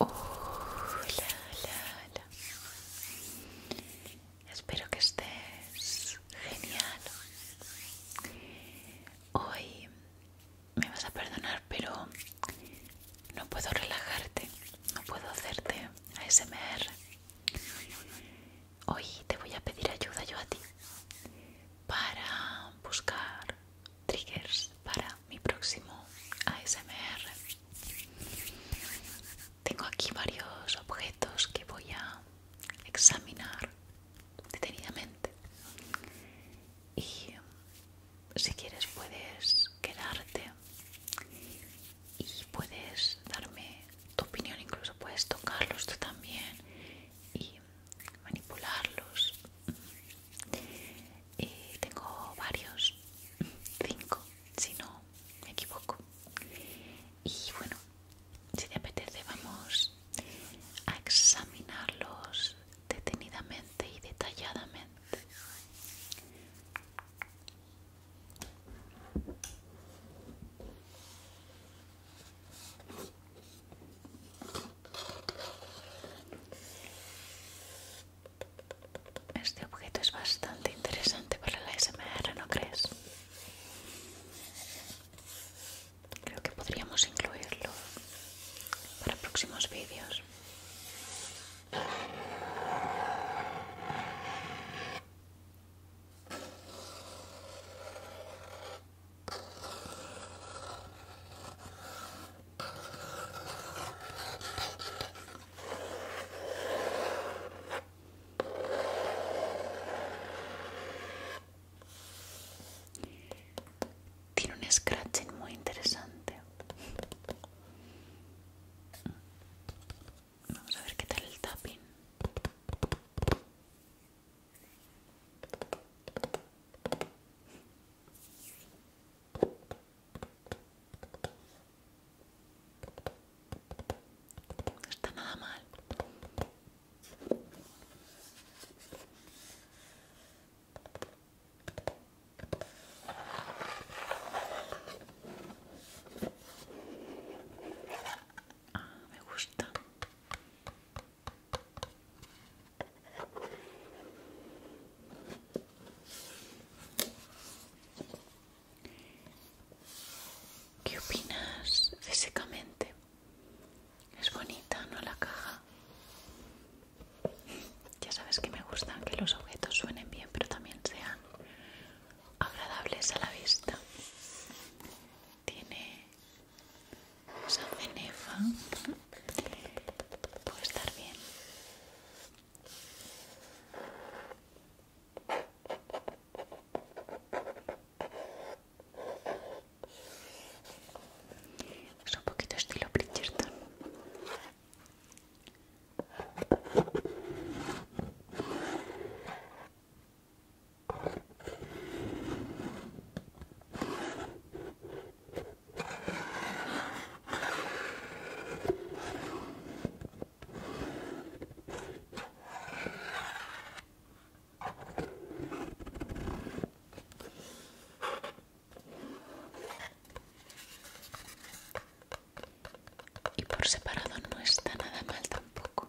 Hola, hola, hola. Espero que estés genial. Hoy me vas a perdonar, pero no puedo relajarte, no puedo hacerte ASMR. Hoy te voy a pedir ayuda yo a ti para buscar triggers para mi próximo ASMR. Tengo aquí varios objetos que voy a examinar detenidamente y mm, si quieres puedes quedarte y puedes darme tu opinión, incluso puedes tocarlos tú también y manipularlos y tengo varios, cinco si no me equivoco. Y bueno, si te apetece vamos a examinarlos detenidamente y detalladamente. Este objeto es bastante interesante para la SMR, ¿no crees? Creo que podríamos incluirlo para próximos vídeos. Tiene un scratching muy interesante. Vamos a ver qué tal el tapping está nada mal. Ah, me gusta. ¿Qué opinas físicamente? Es bonita, ¿no? La caja. Ya sabes que me gusta que los objetos suenen bien, pero también sean agradables a la vista. Tiene esa cenefa. Puede estar bien. Es un poquito estilo Bridgerton. Y por separado no está nada mal tampoco.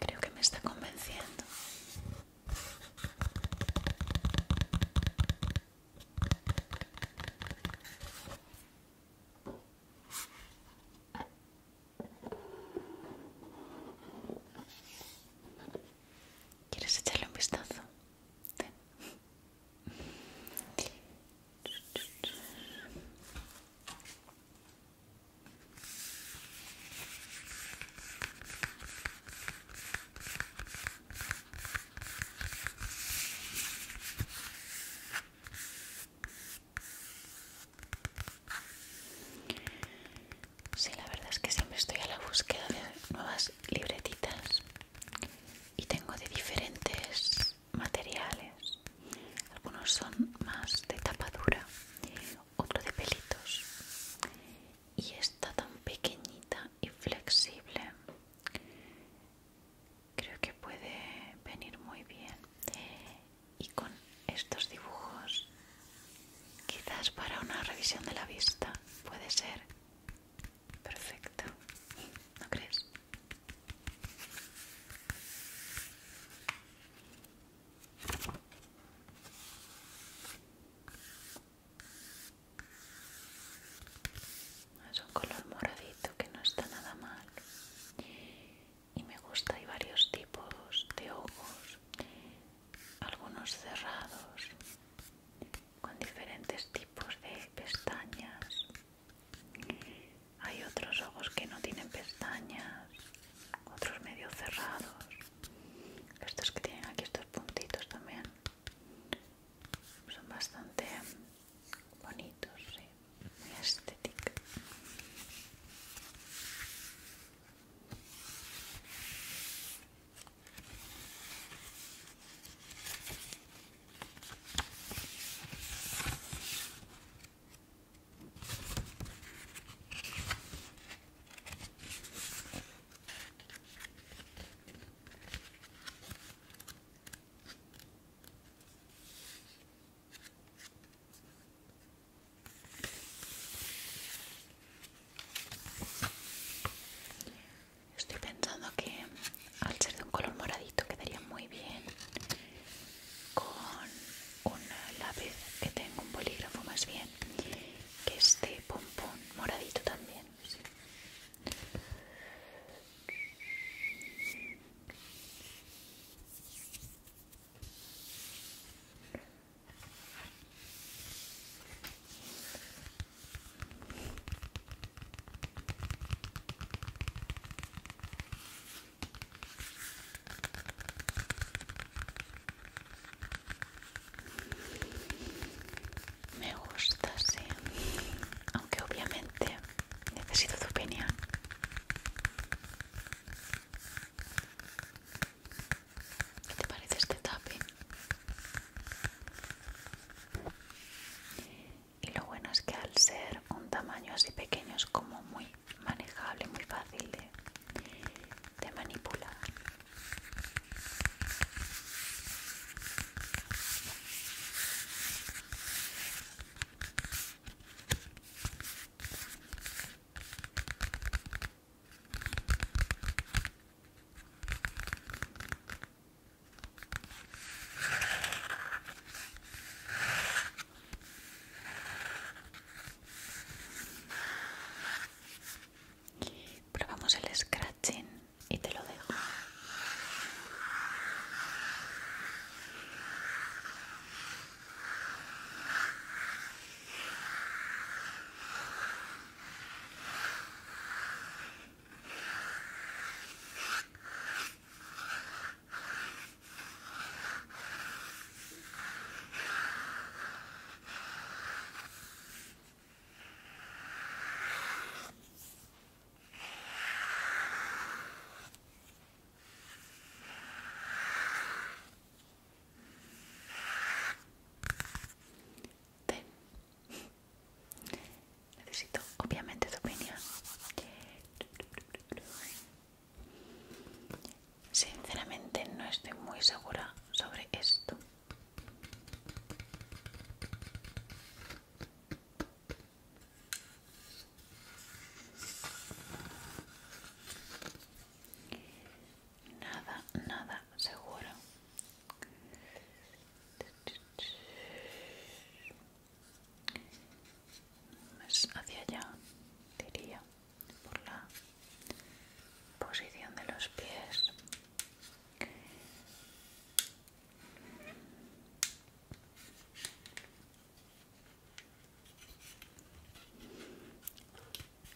Creo que me está convenciendo. ¿Quieres echarle un vistazo? Sí, la verdad es que siempre estoy a la búsqueda de nuevas libretitas y tengo de diferentes materiales. Algunos son más de tapa dura, otro de pelitos. Y esta tan pequeñita y flexible creo que puede venir muy bien. Y con estos dibujos, quizás para una revisión de la vista, puede ser perfecto. ¿No crees? Es un color moradito que no está nada mal. Y me gusta, hay varios tipos de ojos, algunos cerrados, con diferentes tipos de pestañas. Hay otros ojos que no tienen pestañas, otros medio cerrados. Estos que tienen aquí estos puntitos también son bastante bonitos, ¿sí? muy estéticos. Estoy pensando que al ser de un color moradito quedaría muy bien con un lápiz que tengo un bolígrafo más bien que este pompón moradito también me gusta, sí. Aunque obviamente necesito tu opinión. ¿Qué te parece este tapi? y lo bueno es que al ser un tamaño así pequeño es como muy manejable, muy fácil de, manipular. Probamos el scratching y te lo dejo. Necesito obviamente tu opinión. Sinceramente no estoy muy segura sobre esto. Nada, nada seguro. Pues hacia allá diría por la posición de los pies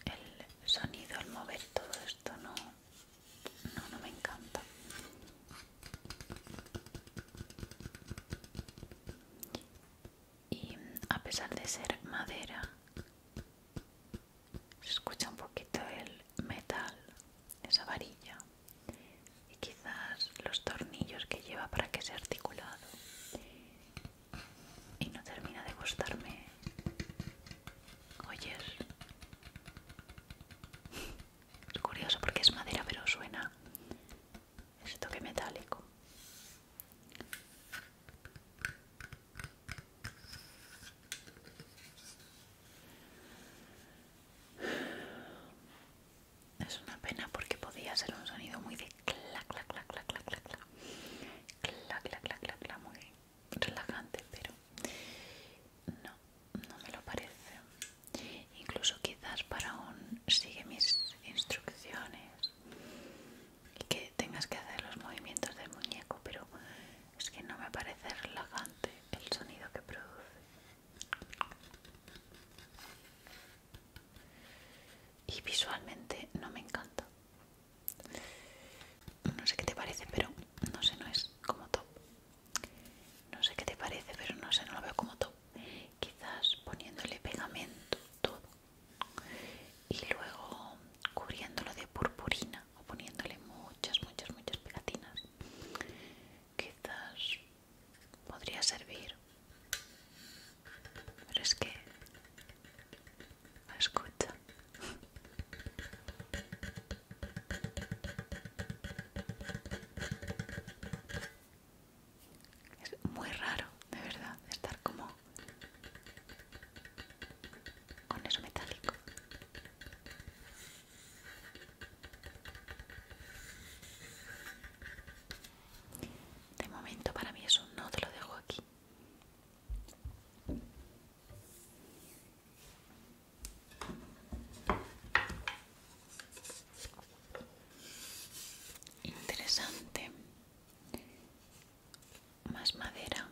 el sonido al mover todo esto no no, no me encanta y a pesar de ser madera se escucha un poquito el metal esa varilla y quizás los tornillos que lleva para que sea articulado y no termina de gustarme oyes es curioso porque es madera pero suena ese toque metálico es una pena porque podía ser un sonido muy de clac clac clac clac clac clac clac clac clac clac clac muy relajante pero no no me lo parece incluso quizás para un sigue mis instrucciones y que tengas que hacer los movimientos del muñeco, pero es que no me parece relajante el sonido que produce. Y visualmente no me encanta. No sé qué te parece, pero no sé, no es como top. No sé qué te parece, pero no sé, no lo veo como top quizás poniéndole pegamento todo y luego cubriéndolo de purpurina o poniéndole muchas, muchas, muchas pegatinas. Quizás podría servir, pero es que escucha. Es muy raro, de verdad, estar como con eso metálico. De momento para mí eso no te lo dejo aquí. Interesante. Más madera.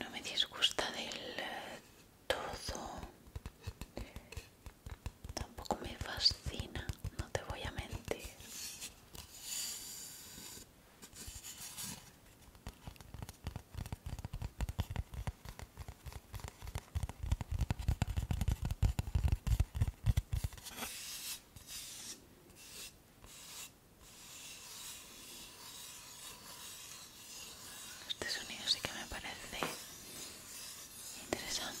No me disgusta del eh, todo. Tampoco me fascina, no te voy a mentir. Este sonido sí que me parece interesante.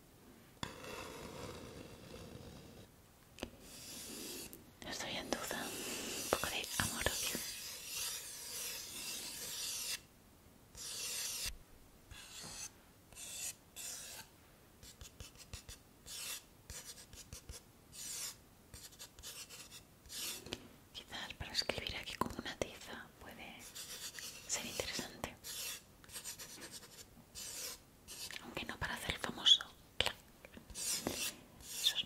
Estoy en duda, un poco de amor. Quizás para escribir aquí con una tiza puede ser interesante. Aunque no para hacer el famoso.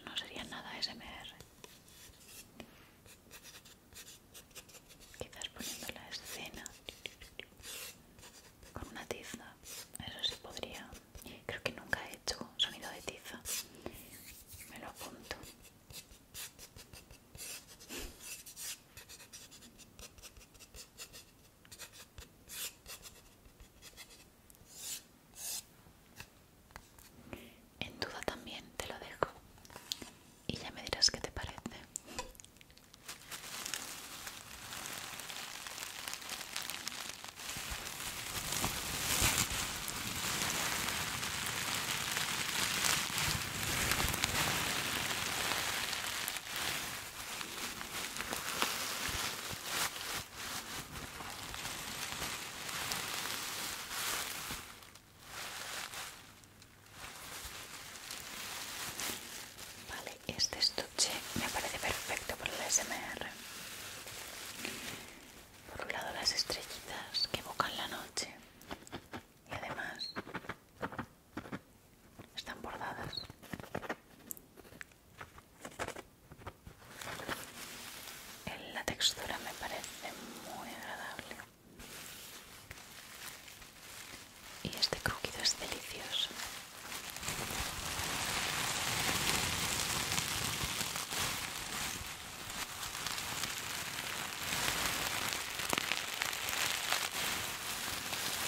no sería nada SMR. Quizás poniendo la escena con una tiza. Eso sí podría. Creo que nunca he hecho sonido de tiza. Me lo apunto. En duda también te lo dejo y ya me dirás qué te parece. Vale, este estuche me parece perfecto para el SMR. Por un lado las estrellitas que evocan la noche y además están bordadas. La textura me parece muy agradable. Y este crujido es delicioso.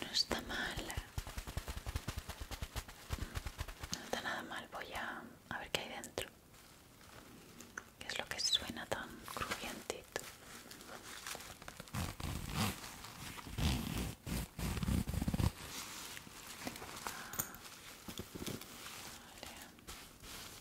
No está mal. No está nada mal. Voy a, a ver qué hay dentro. ¿Qué es lo que suena tan crujientito?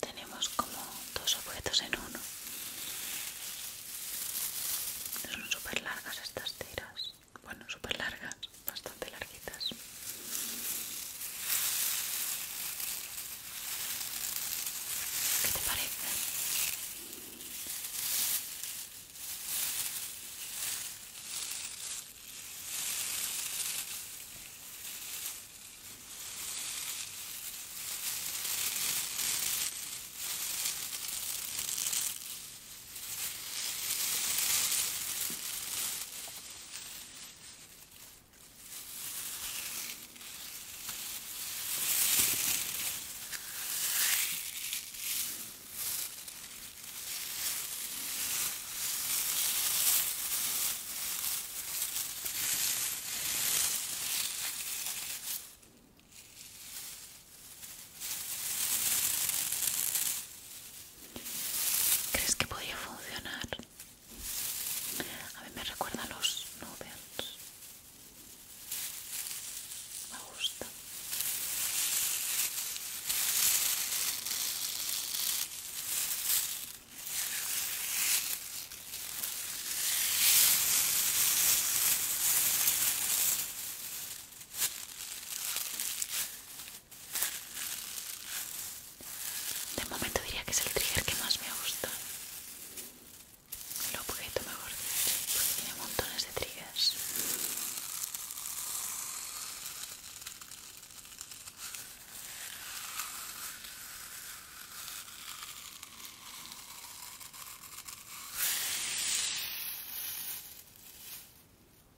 Tenemos como dos objetos en uno. Son super largas estas tiras. Bueno, super largas bastante larguitas. ¿Qué te parece? ¿Crees que podría funcionar? A ver, me recuerda los novels. Me gusta. De momento diría que es el trigger que más me gusta. El objeto mejor porque tiene montones de triggers.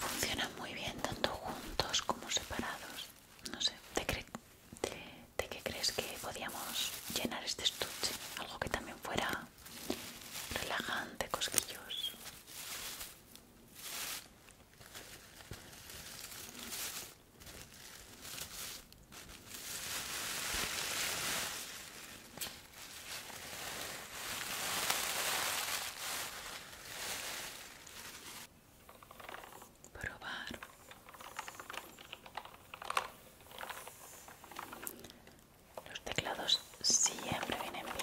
Funcionan muy bien tanto juntos como separados. No sé, ¿de, qué crees que podíamos llenar este estuche? Algo que también fuera relajante, cosquillos probar los teclados siempre vienen bien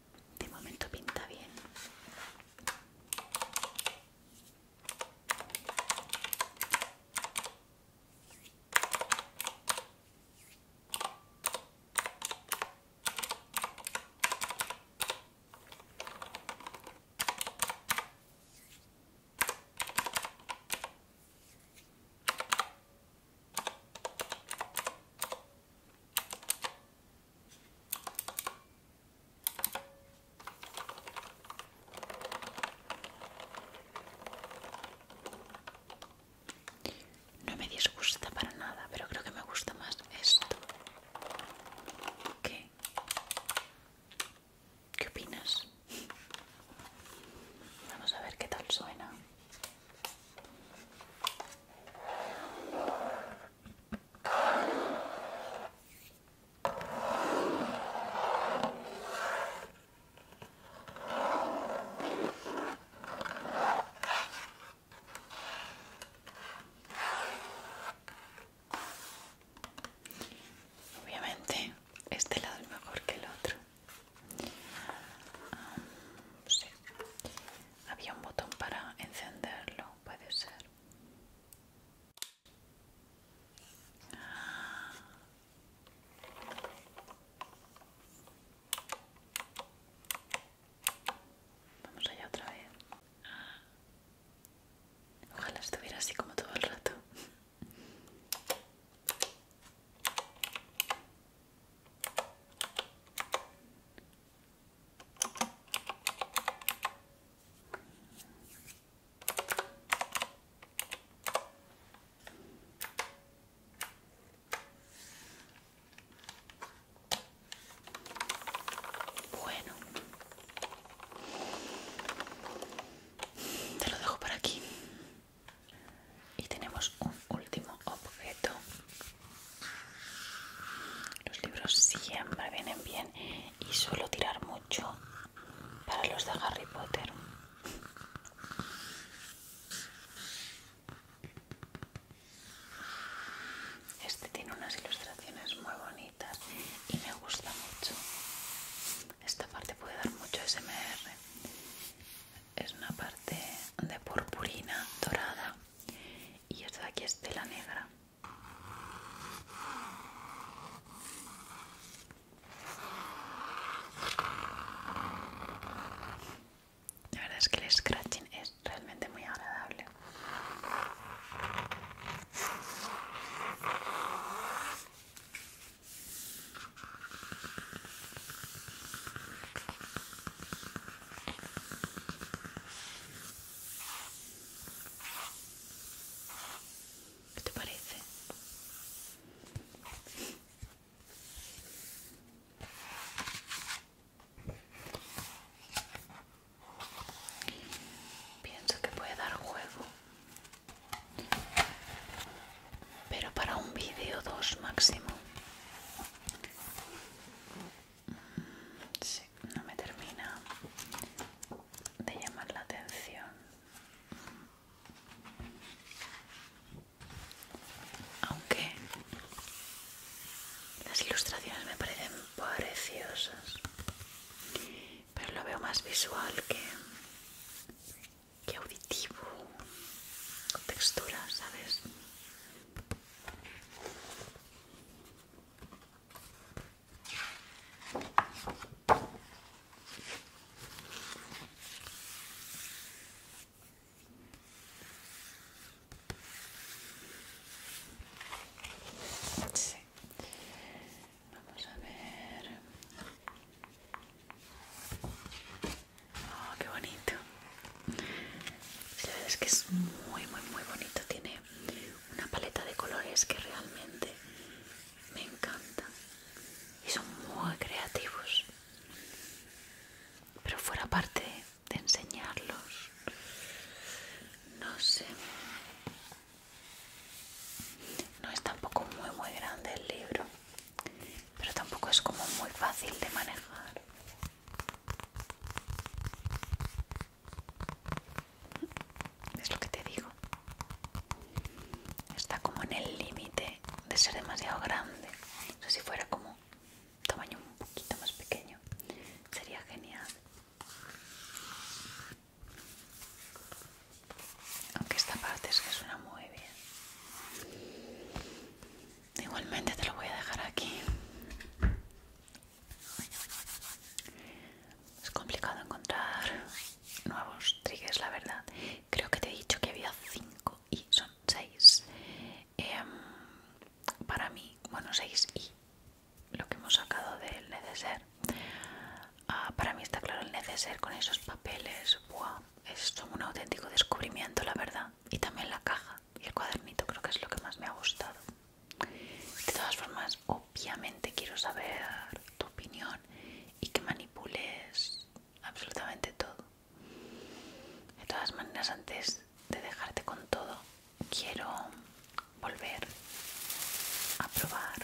de momento pinta bien no me disgusta para nada, pero creo que me gusta más esto. ¿Qué? ¿Qué opinas? Vamos a ver qué tal suena. Obviamente, este lado es mejor que el otro. Ah, Había un botón para encenderlo, puede ser. Vamos allá otra vez. Ojalá estuviera así como todo el rato. Bueno, te lo dejo por aquí. Y tenemos un último objeto. Los libros siempre vienen bien y suelo tirar mucho para los de Harry Potter. Este tiene unas ilustraciones muy bonitas y me gusta mucho. Esta parte puede dar mucho SMR. Es una parte de purpurina dorada y esta de aquí es tela negra. La verdad es que el scratching es realmente muy agradable. ¿Qué te parece? Pienso que puede dar juego. Pero para un vídeo dos máximo. Sí, no me termina de llamar la atención. Aunque las ilustraciones me parecen preciosas, pero lo veo más visual que, auditivo, textura, ¿sabes? Vamos a ver. Oh, qué bonito. La es que es muy, muy, muy bonito. Tiene una paleta de colores que realmente me encanta y son muy creativos pero fuera parte de enseñarlos no sé no es tampoco muy muy grande el libro pero tampoco es como muy fácil de manejar es lo que te digo. Está como en el límite de ser demasiado grande. si fuera como tamaño un poquito más pequeño, sería genial. Aunque esta parte es que suena muy bien. Igualmente te lo voy a dejar aquí es complicado encontrar nuevos triggers, la verdad. Creo que te he dicho que había 5 y son 6. Em, para mí, bueno, 6 y lo que hemos sacado del neceser. Ah, para mí está claro el neceser con esos papeles. Wow, es un auténtico descubrimiento, la verdad. Y también la caja y el cuadernito creo que es lo que más me ha gustado. De todas formas, obviamente quiero saber tu opinión y que manipules absolutamente todo. De todas maneras, antes de dejarte con todo, quiero volver a probar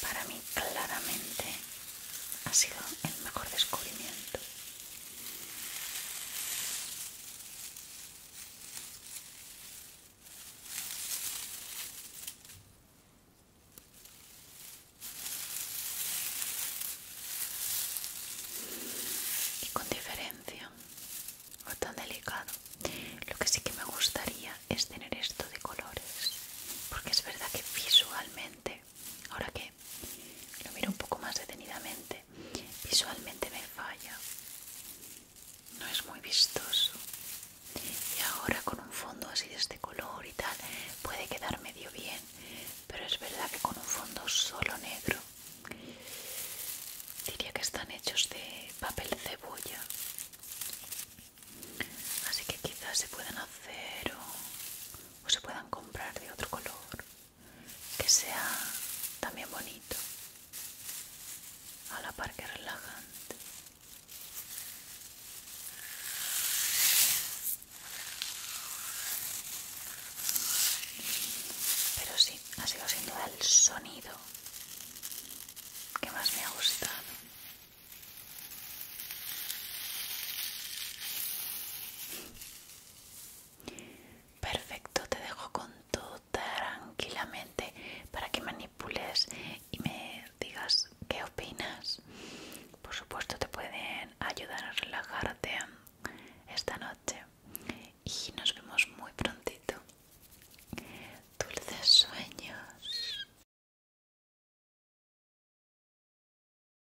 para mí claramente ha sido el mejor descubrimiento y con diferencia o tan delicado lo que sí que me gustaría es tener esto de colores porque es verdad que visualmente Ahora que lo miro un poco más detenidamente, visualmente me falla. No es muy vistoso. Y ahora con un fondo así de este color y tal, puede quedar medio bien. Pero es verdad que con un fondo solo negro, diría que están hechos de papel cebolla. Así que quizás se pueden hacer o se puedan comprar de otro color que sea también bonito a la par que relajante pero sí ha sido sin duda el sonido que más me ha gustado Perfecto, te dejo con todo tranquilamente para que manipules y me digas qué opinas. Por supuesto te pueden ayudar a relajarte esta noche y nos vemos muy prontito. Dulces sueños.